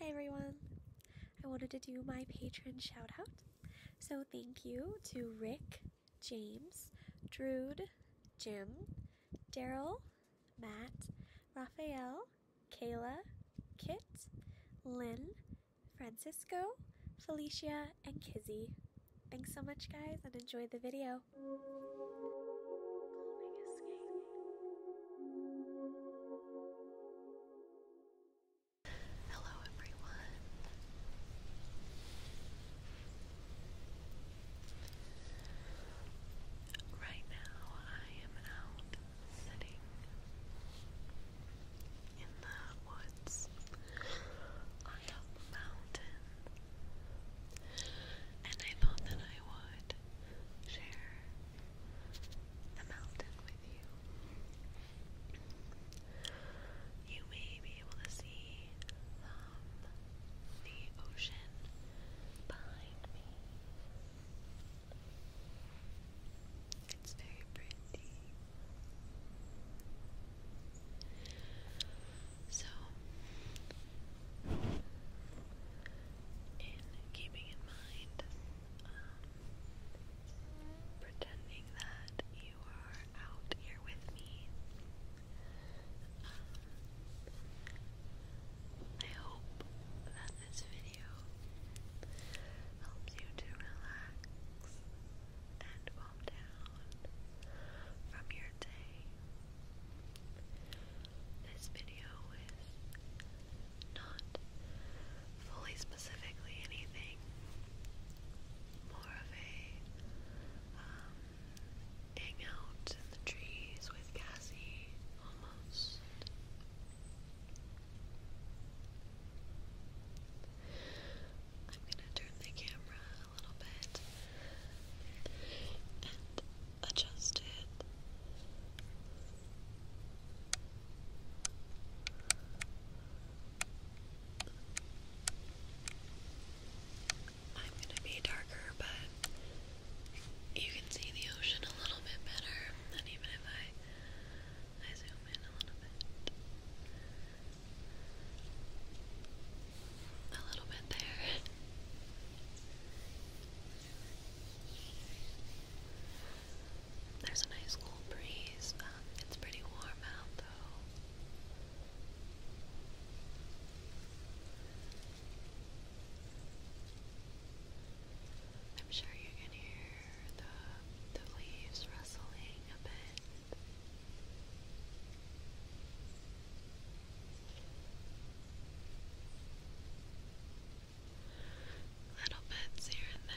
Hi everyone! I wanted to do my patron shout out. So, thank you to Rick, James, Drood, Jim, Daryl, Matt, Rafael, Kayla, Kit, Lynn, Francisco, Felicia, and Kizzy. Thanks so much, guys, and enjoy the video. Hello, everyone. Right now, I am out sitting in the woods on top mountain, and I thought that I would share the mountain with you. You may be able to see um, the ocean behind me. It's very pretty. So, in keeping in mind pretending that you are out here with me. Um, I hope that this video helps you to relax and calm down from your day this video is not fully specifically anything, more of a um, in the trees with Cassie almost. I'm gonna turn the camera a little bit and adjust it I'm going to be darker, but you can see the ocean a little bit better than even if I, zoom in a little bit. A little bit there. There's a nice cool breeze. Um, it's pretty warm out though. I'm sure you can hear the the leaves rustling a bit little bits here and there.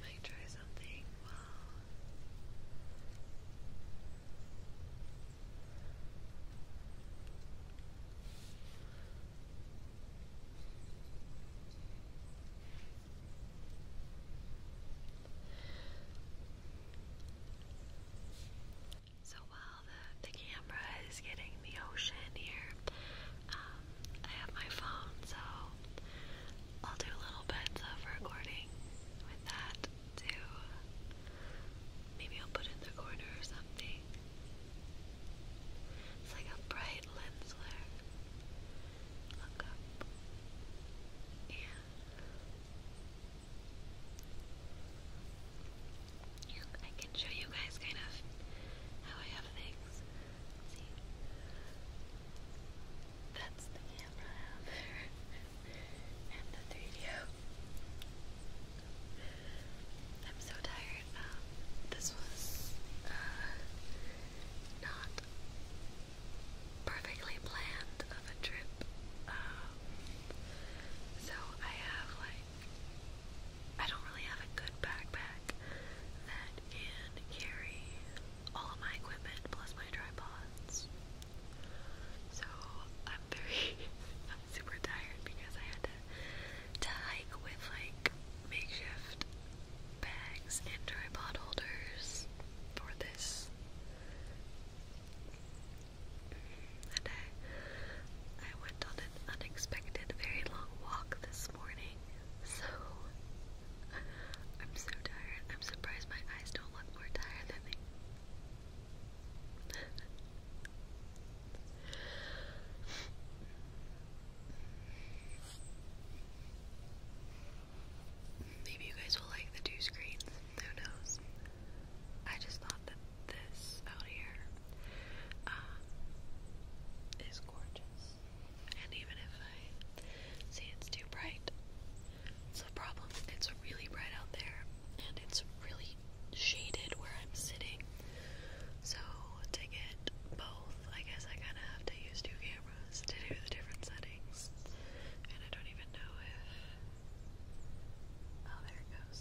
Might try something so while the, the camera is getting the ocean here, um, I have my phone, so I'll do little bits of recording with that too. Maybe I'll put it in the corner or something. It's like a bright lens flare. Look up. Yeah. I can show you guys kind of how I have things. see, that's the camera out there, and the 3DO. am so tired. Um, this was uh, not perfectly planned of a trip. Um, so I have like I don't really have a good backpack that can carry all of my equipment plus my tripods. So I'm very, I'm super tired because I had to, to hike with like makeshift bags and tripod holders for this and I, I went on an unexpected, very long walk this morning, so I'm so tired. I'm surprised my eyes don't look more tired than they. Maybe you guys will like the two screens. Who knows? I just thought that this out here um, gorgeous. And even if I see it's too bright, it's a problem. It's really bright out there, and it's really shaded where I'm sitting. So to get both, I guess I kind of have to use two cameras to do the different settings. And I don't even know if. Oh, there it goes.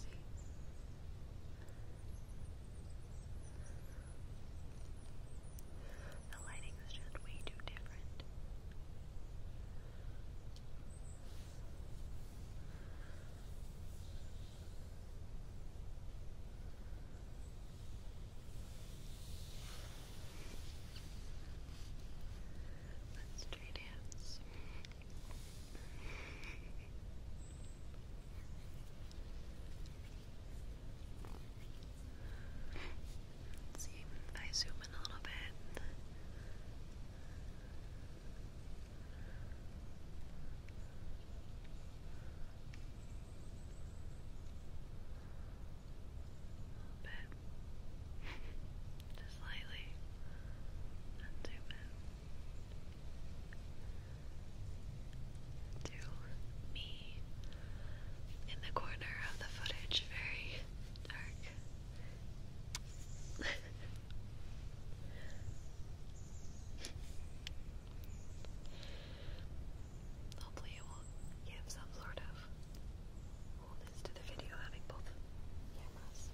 The lighting was just way too different. Let's try dance. Let's see if I zoom in a little bit. A little bit. Just slightly. Not too bad to me in the corner of the footage, very dark. Hopefully, it will give some sort of coolness to the video having both cameras.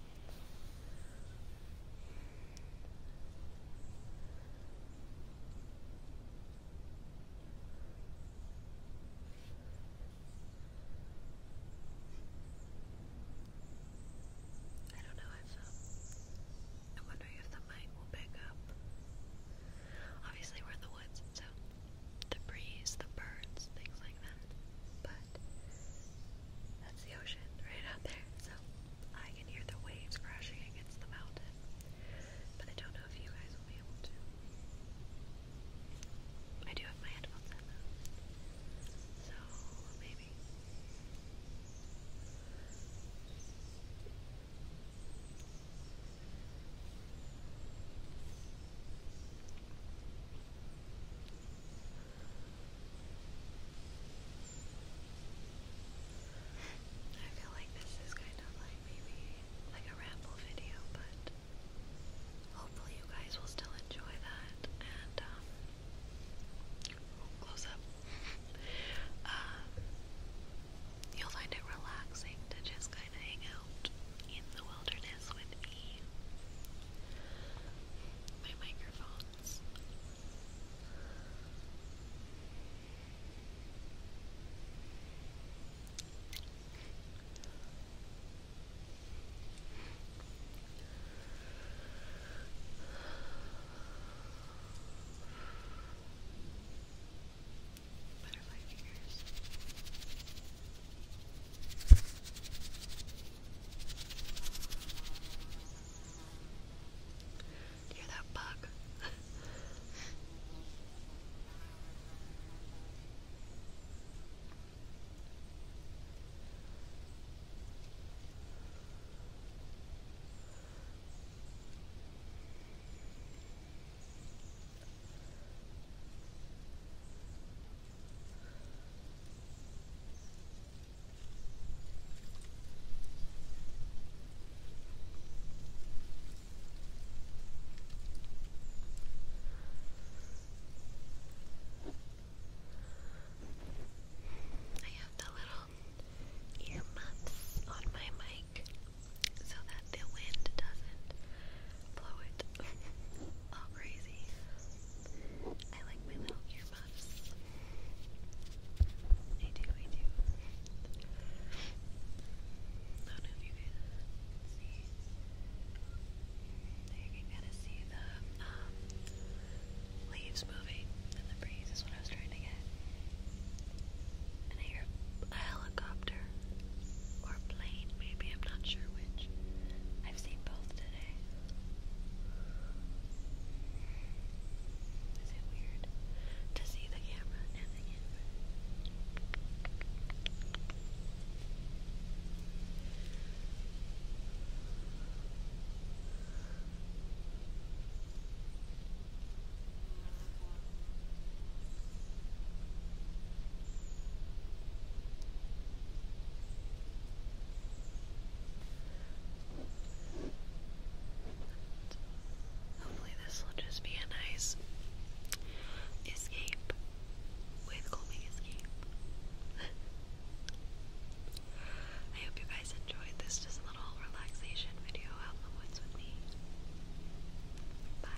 I don't know if um, I'm wondering if the mic will pick up. Obviously, we're in the woods, so the breeze, the birds, things like that. But that's the ocean right out there, so I can hear the waves crashing against the mountain. But I don't know if you guys will be able to. I do have my headphones on though. So maybe. I feel like this is kind of like maybe like a ramble video, but hopefully you guys will still enjoy that. And um, oh, close up. Um, you'll find it relaxing to just kind of hang out in the wilderness with me. My microphone hands. Butterfly fingers. Do you hear that bug? I have the little earmuffs on my mic so that the wind doesn't blow it all crazy. I like my little earmuffs. I do, I do. you can kind of see the leaves moving in the breeze, is what I was trying to get. And I a helicopter or plane, maybe, I'm not sure which. I've seen both today. Is it weird to see the camera and the camera? Hopefully this will just be a nice escape with calming I hope you guys enjoyed this just little relaxation video out in the woods with me. Bye.